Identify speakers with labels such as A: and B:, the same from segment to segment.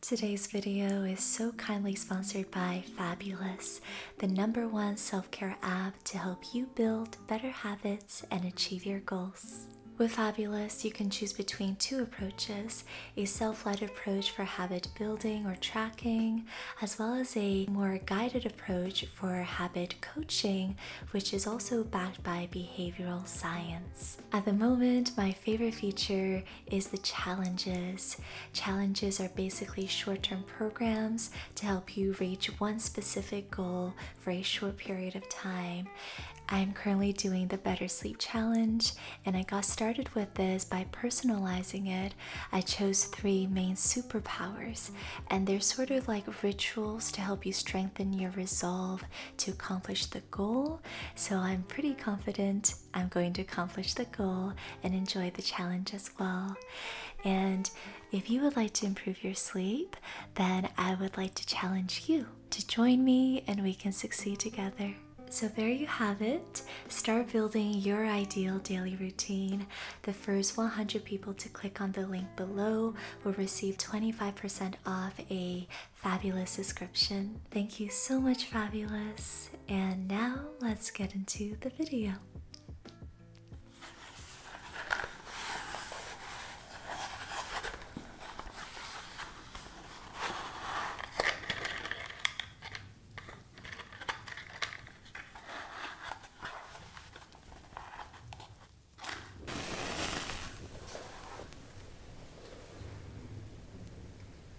A: Today's video is so kindly sponsored by Fabulous, the number one self care app to help you build better habits and achieve your goals. With Fabulous, you can choose between two approaches a self led approach for habit building or tracking, as well as a more guided approach for habit coaching, which is also backed by behavioral science. At the moment, my favorite feature is the challenges. Challenges are basically short term programs to help you reach one specific goal for a short period of time. I'm currently doing the Better Sleep Challenge, and I got started with this by personalizing it. I chose three main superpowers, and they're sort of like rituals to help you strengthen your resolve to accomplish the goal. So I'm pretty confident I'm going to accomplish the goal and enjoy the challenge as well. And if you would like to improve your sleep, then I would like to challenge you to join me and we can succeed together. So, there you have it. Start building your ideal daily routine. The first 100 people to click on the link below will receive 25% off a fabulous description. Thank you so much, Fabulous. And now let's get into the video.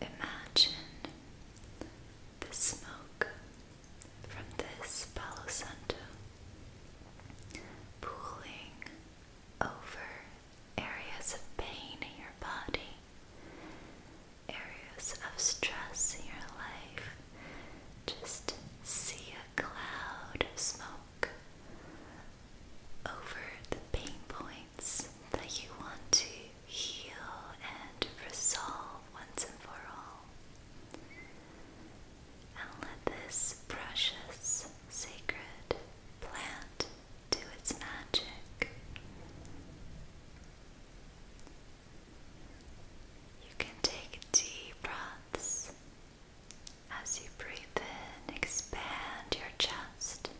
B: Imagine the smoke from this Palo pooling over areas of pain in your body, areas of stress in your life. Just see a cloud of smoke over the pain points that you want to heal and resolve once and for all and let this precious, sacred plant do its magic. You can take deep breaths as you breathe in, expand your chest.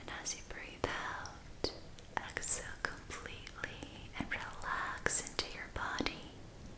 B: And as you breathe out, exhale completely and relax into your body.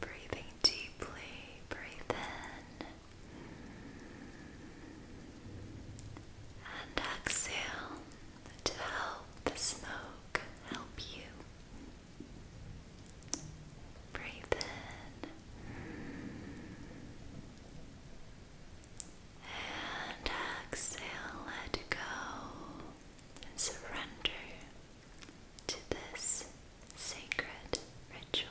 B: Breathing deeply, breathe in and exhale to help the smoke help you. Breathe in and exhale, let go and surrender to this sacred ritual.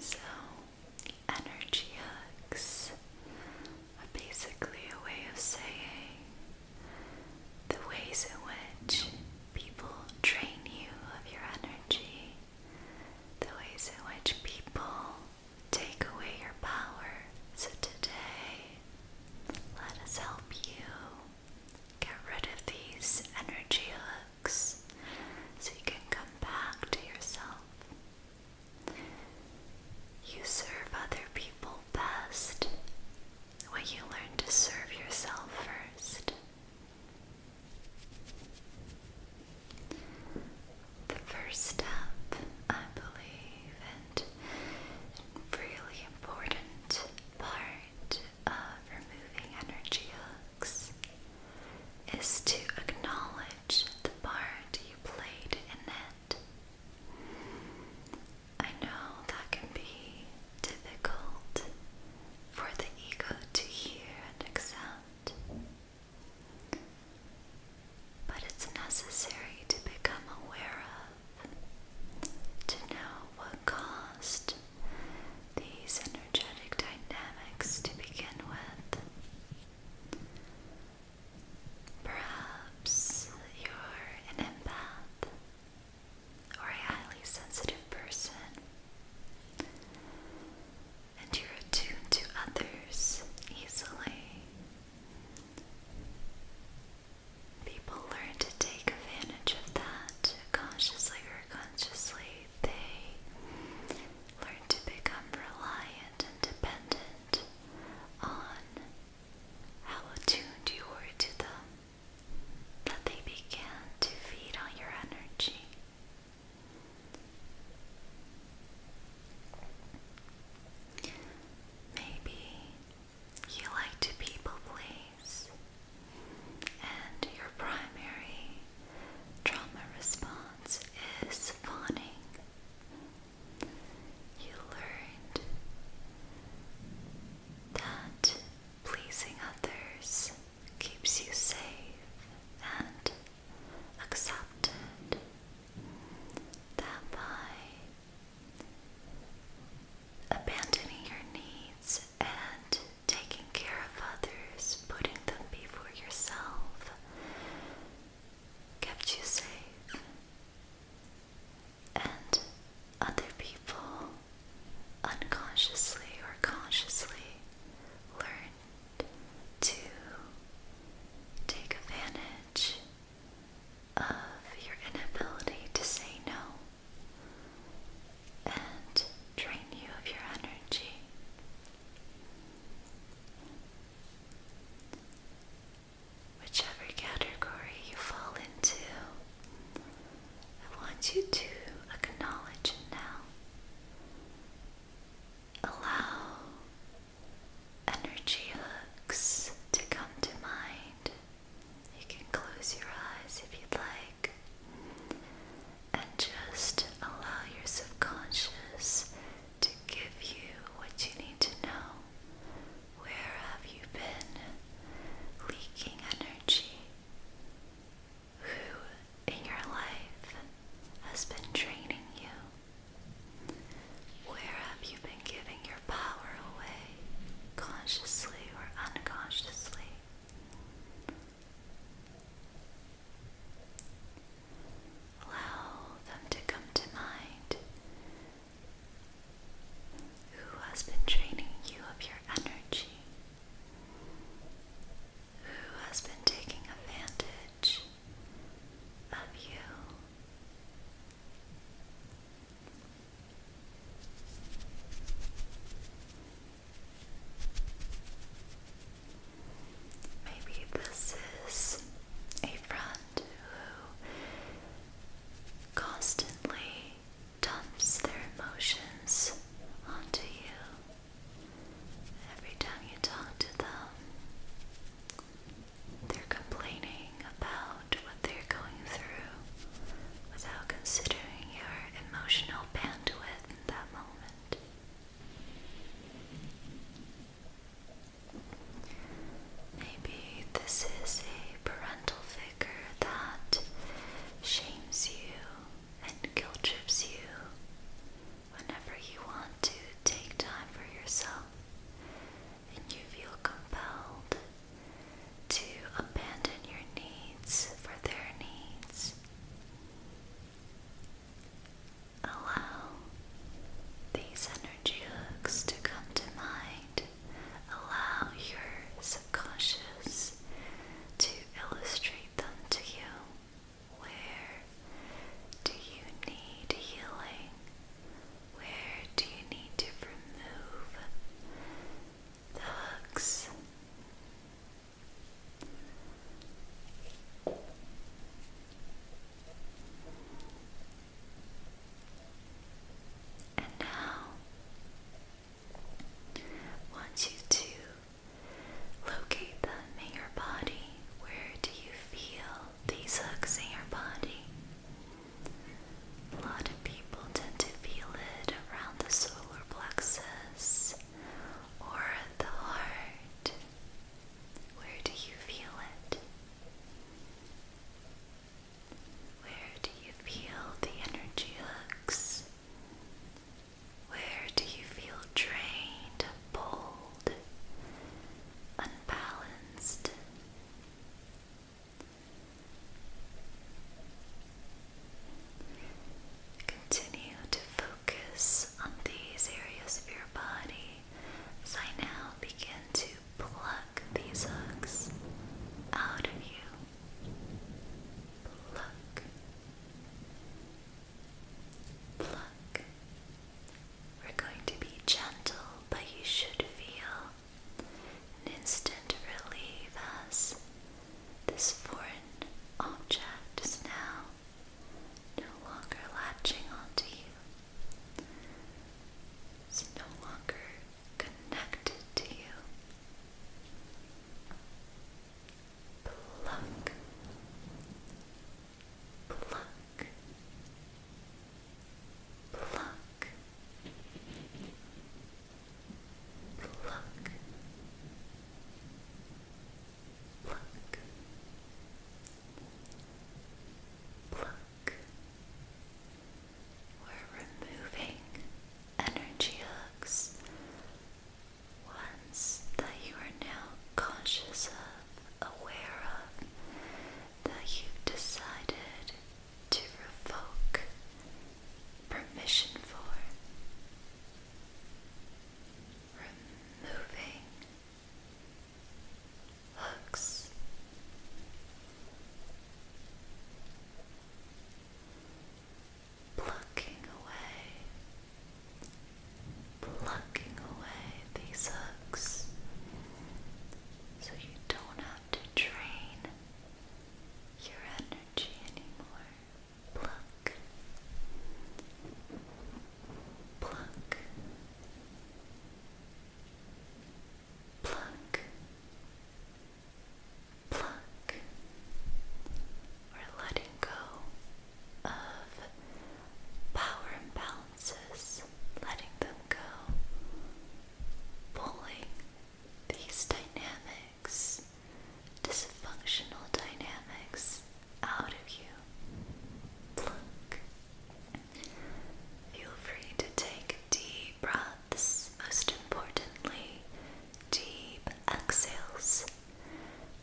B: So, energy hugs are basically a way of saying the ways in which people drain you of your energy, the ways in which people take away your power. So today, let us help you get rid of these energy hooks so you can come back to yourself. You serve other people best when you learn to serve yourself first the first step, I believe, and a really important part of removing energy hooks is to acknowledge the part you played in it. I know that can be difficult for the ego to hear and accept. But it's necessary to become aware of, to know what caused these energetic dynamics to begin with. Perhaps you're an empath or a highly sensitive person and you're attuned to others easily. People learn to take advantage of that consciously or consciously. They learn to become reliant and dependent on how attuned you are to them, that they began to feed on your energy. Maybe you like to people please, and your primary trauma response is fawning. You learned that pleasing others keeps you safe and accepted that by abandoning your needs and taking care of others, putting them before yourself, kept you safe. And other people unconsciously or consciously learn to take advantage of your inability to say no and drain you of your energy. Whichever category you fall into, I want you to acknowledge it now. Allow energy hooks to come to mind. You can close your eyes if you'd like and just allow your subconscious to give you what you need to know. Where have you been leaking energy? Who in your life has been training you? Where have you been giving your power away, consciously or unconsciously? Allow them to come to mind. Who has been draining you of your energy? Who has been taking advantage of you. Maybe this is a friend who constantly dumps their emotions onto you. Every time you talk to them, they're complaining about what they're going through without considering your emotional bandwidth in that moment. Maybe this is a parental figure that shames you and guilt trips you Whenever you want to take time for yourself and you feel compelled to abandon your needs for their needs, allow these energy hooks to come to mind. Allow your subconscious to illustrate them to you. Where do you need healing? Where do you need to remove the hooks? And now want you to locate them in body where do you feel these hooks in your body? A lot of people tend to feel it around the solar plexus or the heart. Where do you feel it? Where do you feel the energy hooks? Where do you feel drained, pulled? unbalanced. Continue to focus on these areas of your body as I now begin to pluck these hooks out of you. Pluck. Pluck. We're going to be gentle, but you should feel an instant relief as this foreign object is now no longer latching onto you. It's no longer connected to you. Pluck, pluck, pluck, pluck, pluck, pluck. We're removing energy hooks, ones that you are now conscious of aware of that you've decided to revoke permission for removing hooks. Plucking away plucking away these hooks so you don't have to drain your energy anymore. Pluck, pluck, pluck, pluck. We're letting go of power imbalances, letting them go, pulling these dynamics, dysfunctional dynamics, out of you. Look. Feel free to take deep breaths, most importantly, deep exhales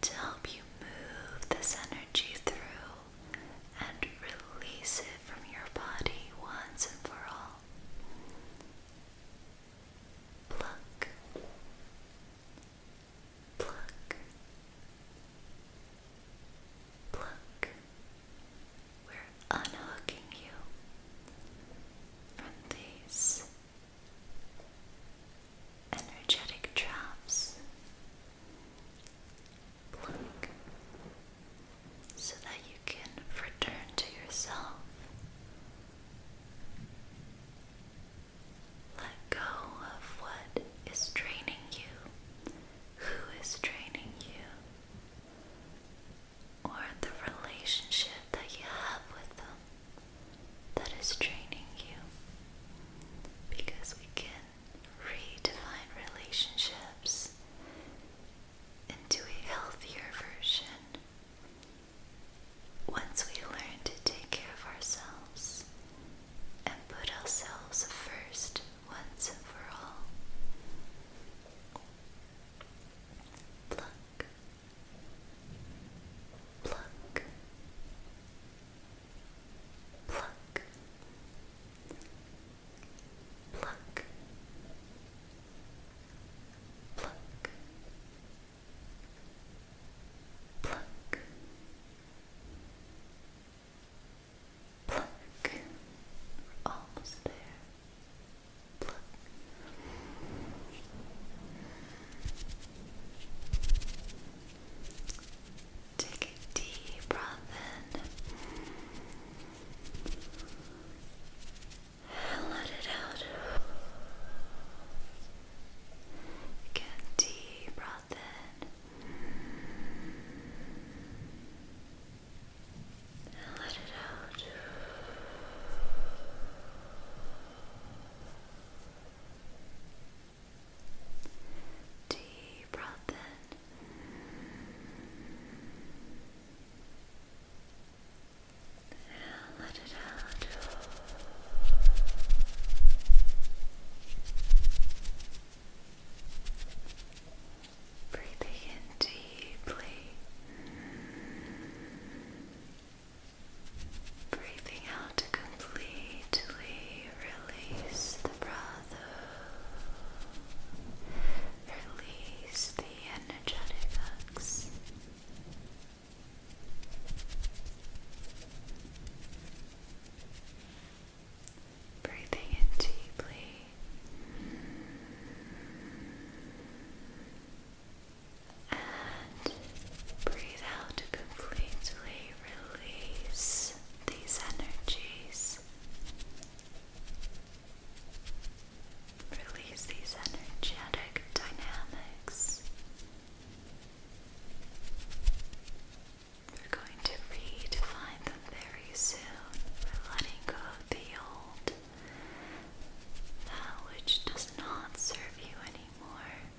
B: to help you move this energy through and release it from your body once and for all. Pluck, pluck, pluck. We're unhooking you from these energetic traps Look, so that you can return to yourself. Let go of what is draining you, who is draining you, or the relationship that you have with them that is draining you. Because we can redefine relationships into a healthier version once we learn to take care of ourselves and put ourselves first once and for all. Pluck, pluck, pluck, pluck, pluck, pluck, pluck. We're almost there. Pluck. Take a deep breath in. And let it out. Again, deep breath in. And let it out. Deep breath in. And let it out. Breathing in deeply. Breathing out to completely release the breath. Release the energetic hooks. Breathing in deeply. And breathe out completely release these energies. Release these energetic dynamics. We're going to redefine them very soon. We're letting go of the old, that uh, which does not serve you anymore.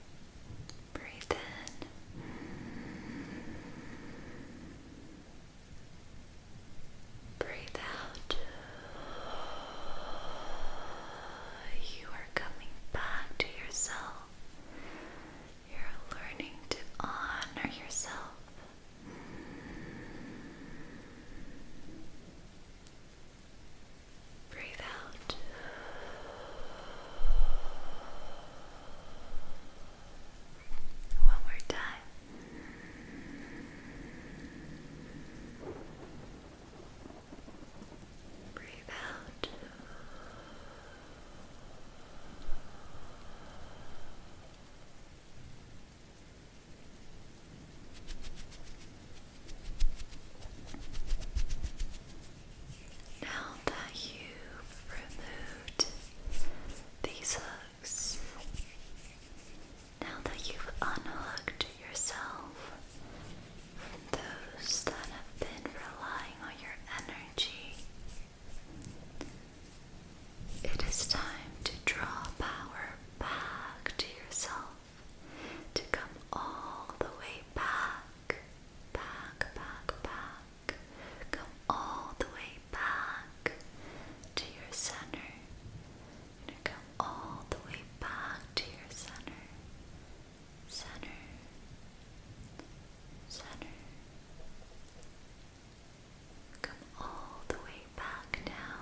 B: Breathe in. Breathe out. You are coming back to yourself. You're learning to honor yourself. Breathe out. One more time. Breathe out. Now that you've removed these hooks, now that you've unhooked yourself from those that have been relying on your energy, it is time to draw power back to yourself, to come all the way back back, back, back. Come all the way back to your center. come all the way back to your center. Center. Center. Come all the way back now.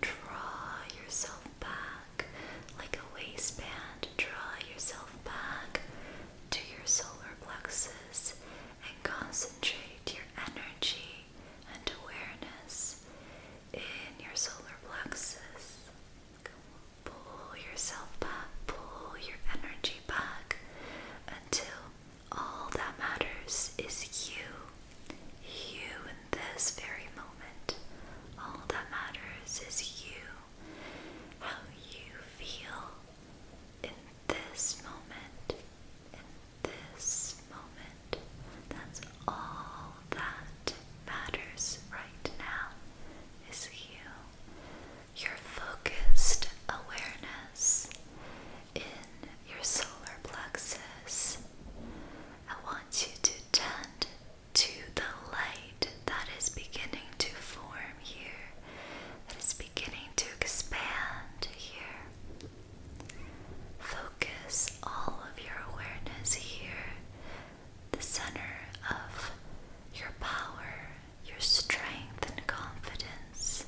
B: Draw yourself back like a waistband. Draw yourself back to your solar plexus and concentrate your energy and awareness in your solar plexus. Pull yourself back, pull your energy back until all that matters is you. You in this very moment. All that matters is you how you feel in this moment. In this moment. That's all that matters right now is you. Your focused awareness in your solar plexus. I want you to tend to the light that is beginning to form here, that is beginning to expand here. Focus all of your awareness here, the center of your power, your strength, and confidence.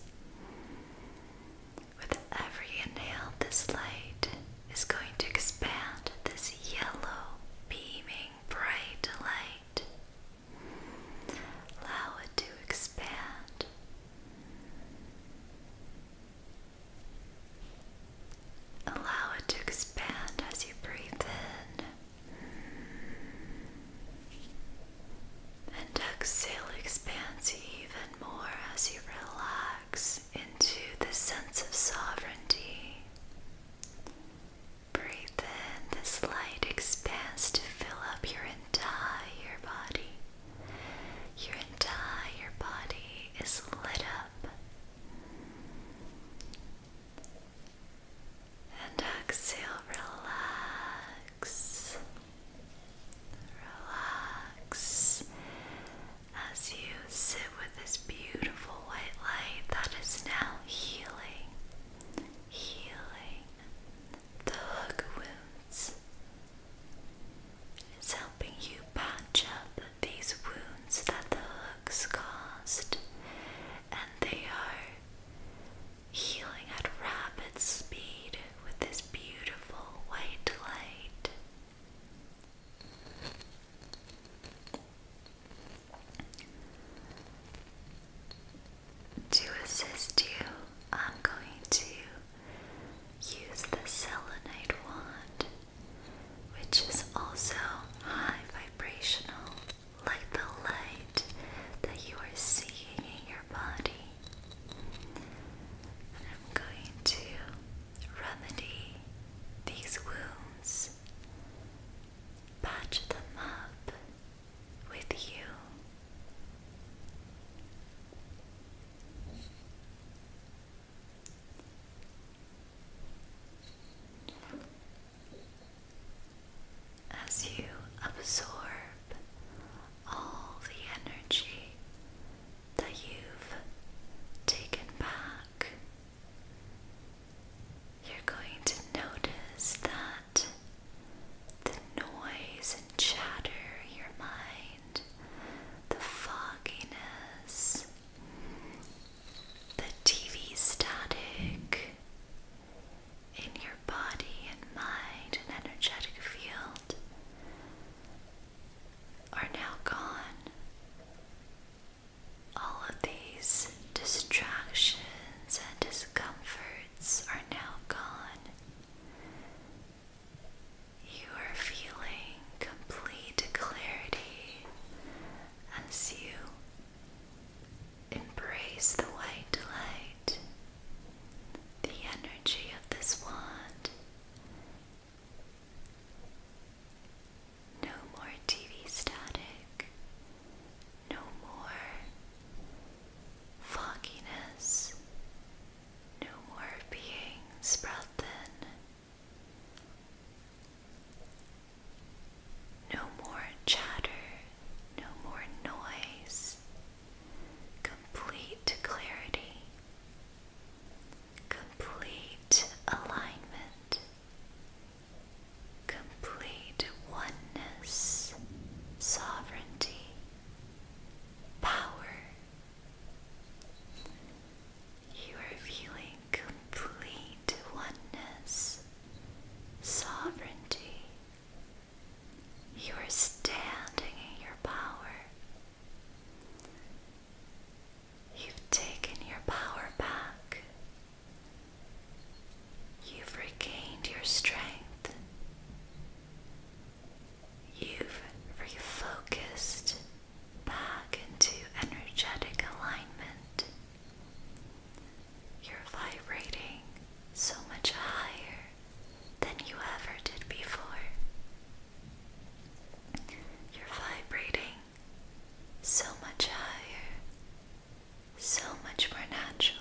B: With every inhale, this light is going to expand this yellow beaming bright light. Allow it to expand. Allow it to expand as you breathe in. And exhale expands even more as you relax into the sense of sovereignty. Breathe in this light expands to fill up your entire body. Your entire body is lit up. And exhale, relax. Relax as you sit with this beautiful white light that is now healing healing the hug wounds. It's helping you patch up these wounds that the hooks caused, and they are healing at rapid speed with this beautiful white light. To assist you, I'm going to use the selenite wand, which is also high vibrational, like the light that you are seeing in your body. And I'm going to remedy these wounds patch them up with you. As you absorb all the energy that you've taken back you're going to notice that the noise and chatter your mind, the fogginess, the TV static in your body and mind and energetic field are now gone. All of these distractions and discomforts are now gone. You are feeling complete clarity as you embrace the white light, the energy of this wand. No more TV static. No more fogginess. No more being spread thin. No more chatter. No more noise. Complete clarity. Complete alignment complete oneness, sovereignty, power. You are feeling complete oneness, sovereignty. You are standing in your power. You've taken your power back. You've regained your strength. You've refocused back into energetic alignment. You're vibrating so much higher than you ever did before. You're vibrating so much higher, so much more naturally.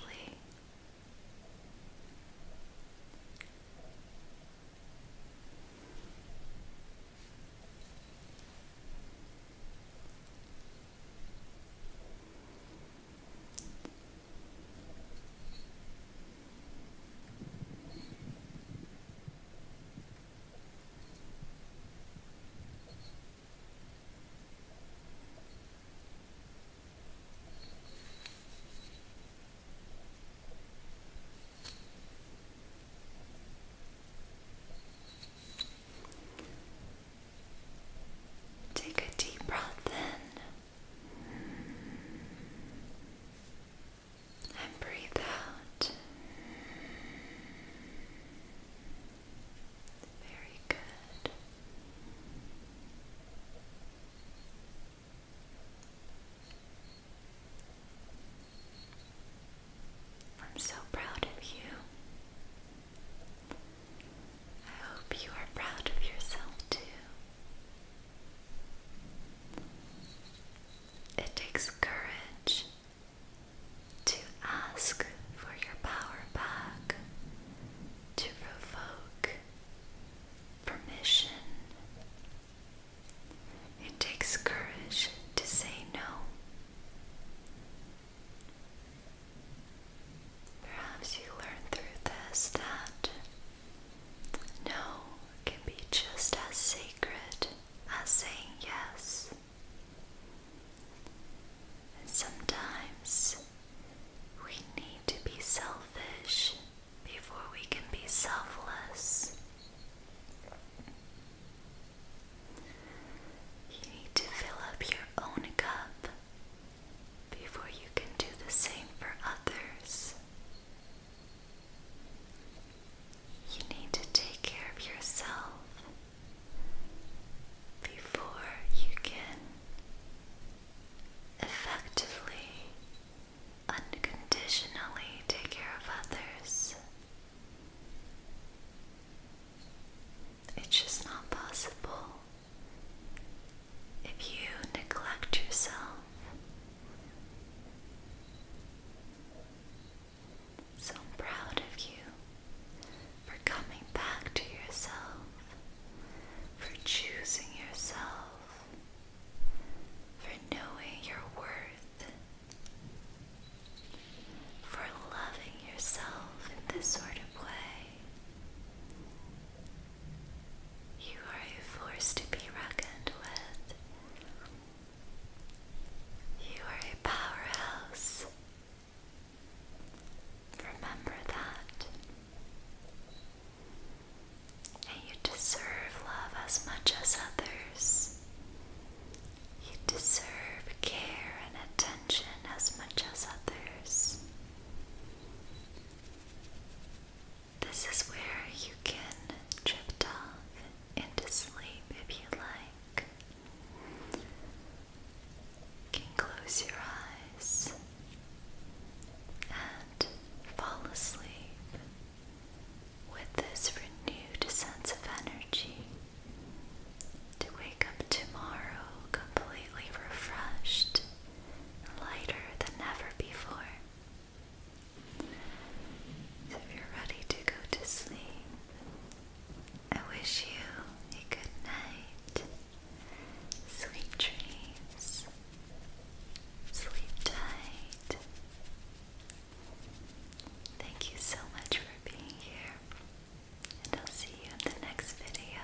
B: Take a deep breath in and breathe out. Very good. I'm so proud of you. I hope you are proud of yourself too. It takes courage to ask for your power back, to revoke permission. It takes courage to say no. Perhaps you learn through this that no can be just as sacred as saying yes. And sometimes we need to be selfish before we can be selfless. You need to fill up your own cup before you can do the same for others. You need to take care of yourself before you can effectively, unconditionally take care of others. It's just not possible if you neglect yourself. So proud of you for coming back to yourself, for choosing yourself, for knowing your worth, for loving yourself in this sort of way. You are a force to be reckoned with. You are a powerhouse Remember that. And you deserve love as much as others. You deserve care and attention as much as others. This is where you can drift off into sleep if you like can close your eyes and fall asleep with this renewed sense of energy to wake up tomorrow completely refreshed and lighter than ever before. So if you're ready to go to sleep, I wish you a good night, sweet dreams, sleep tight. Thank you so much for being here, and I'll see you in the next video.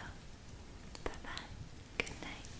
B: Bye bye, good night.